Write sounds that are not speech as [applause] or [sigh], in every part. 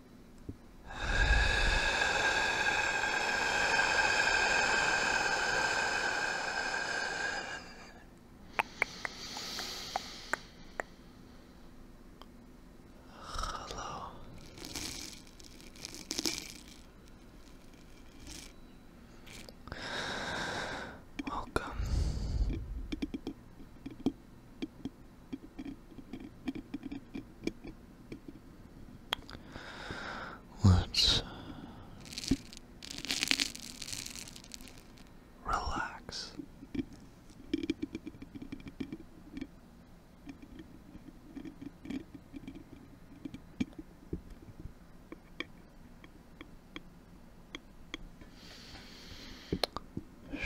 Hello. Welcome. Let's relax.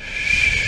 Shh.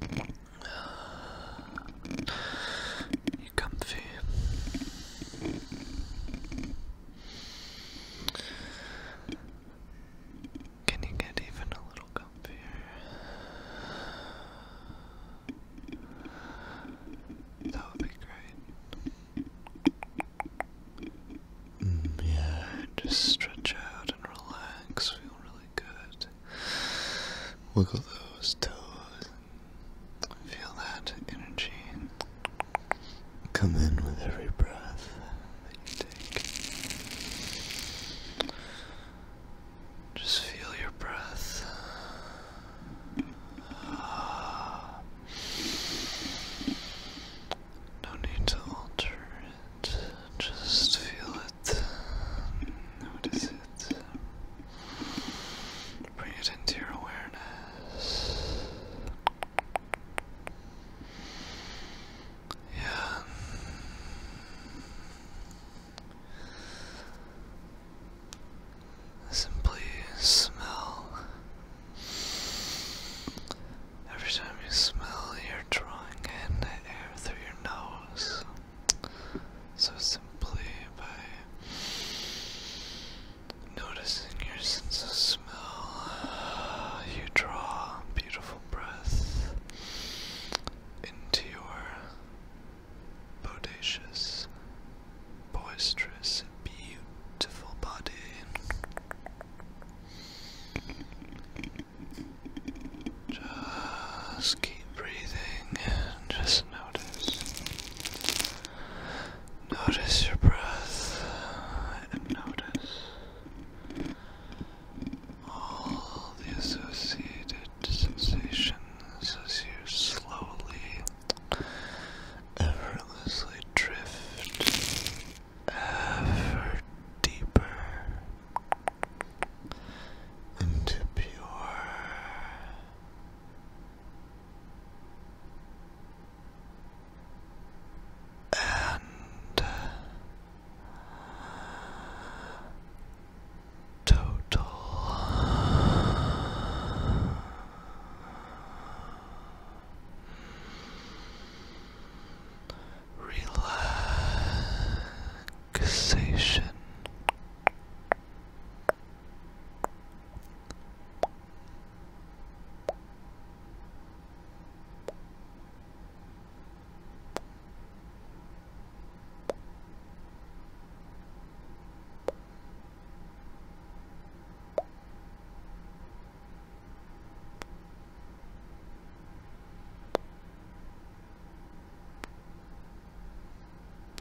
[sighs] You comfy? Can you get even a little comfier? That would be great. Mm, yeah, just stretch out and relax, feel really good. Wiggle those toes. Feel that energy come in with every breath that you take. Just feel your breath. Ah. No need to alter it. Just feel Notice it. Bring it into your awareness. Yeah. Simply smell. Every time you smell, you're drawing in air through your nose. So simply by noticing your sense of smell, you draw beautiful breath into your bodacious, boisterous, beautiful body. Just keep Keep breathing and just notice. Notice your breath and notice all the associated sensations as you slowly, effortlessly drift ever deeper into pure and uh, total. Relax relaxation.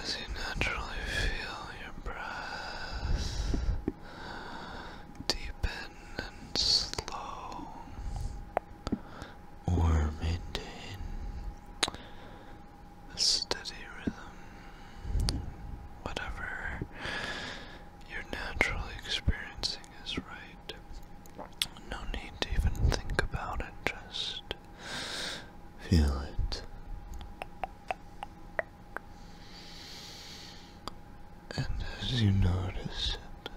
As you naturally feel your breath deepen and slow, or maintain a steady rhythm, whatever your natural experiencing is right. No need to even think about it, just feel it. And as you notice it,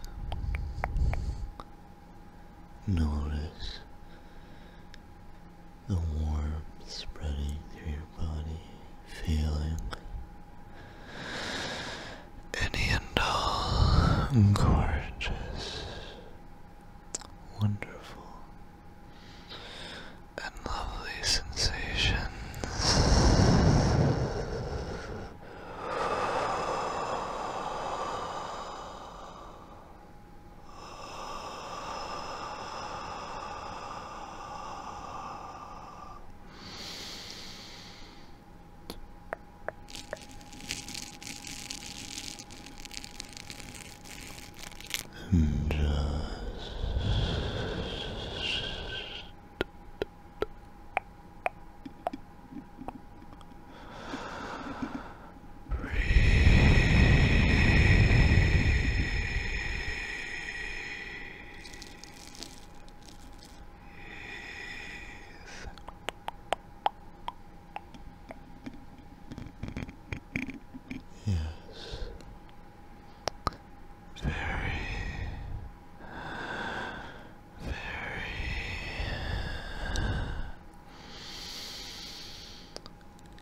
notice the warmth spreading through your body feeling any and all gorgeous, wonderful, and lovely sensations. And just breathe. Yes. Very, very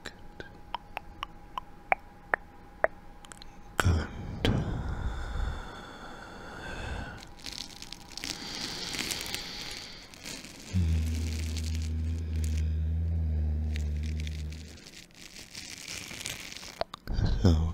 good. Good. So good.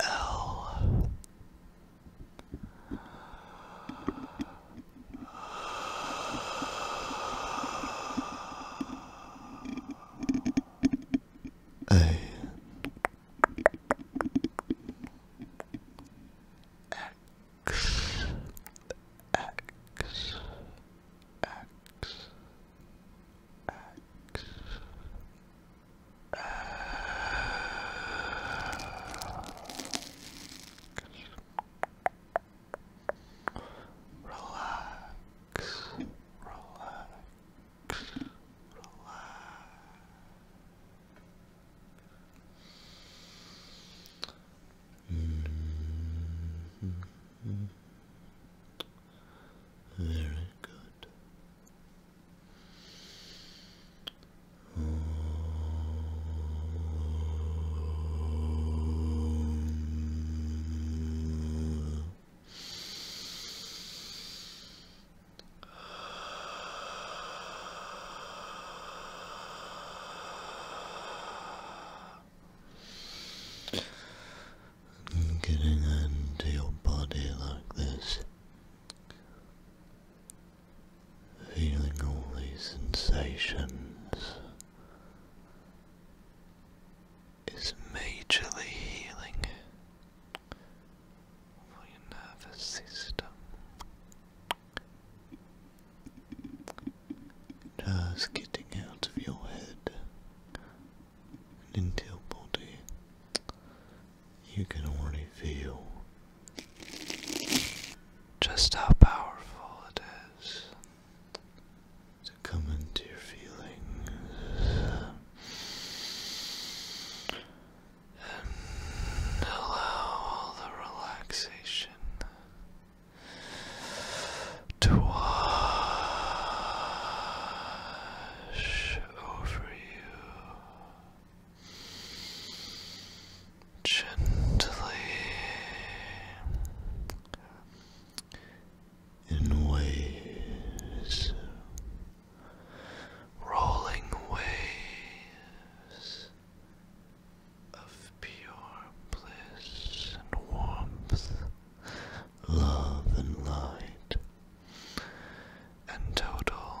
L A X X X X Relax, relax, relax. Very good. Getting into your body like this Feeling all these sensations is majorly healing for your nervous system. Just getting out of your head and into your body you can already feel just how powerful it is to come into your feelings and allow all the relaxation to wash over you gently in waves, rolling waves of pure bliss and warmth, love and light, and total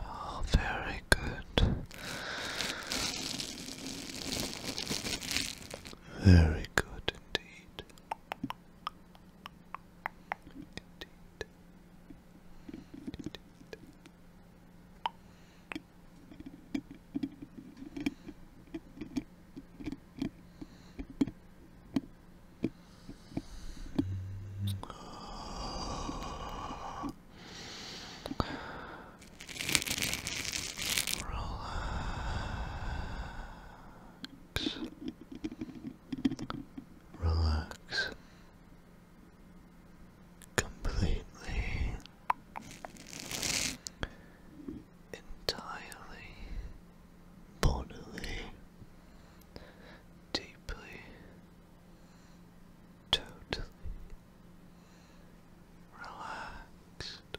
Oh, very good. Very good Indeed. Relax. Relax. Completely entirely, bodily, deeply, totally relaxed.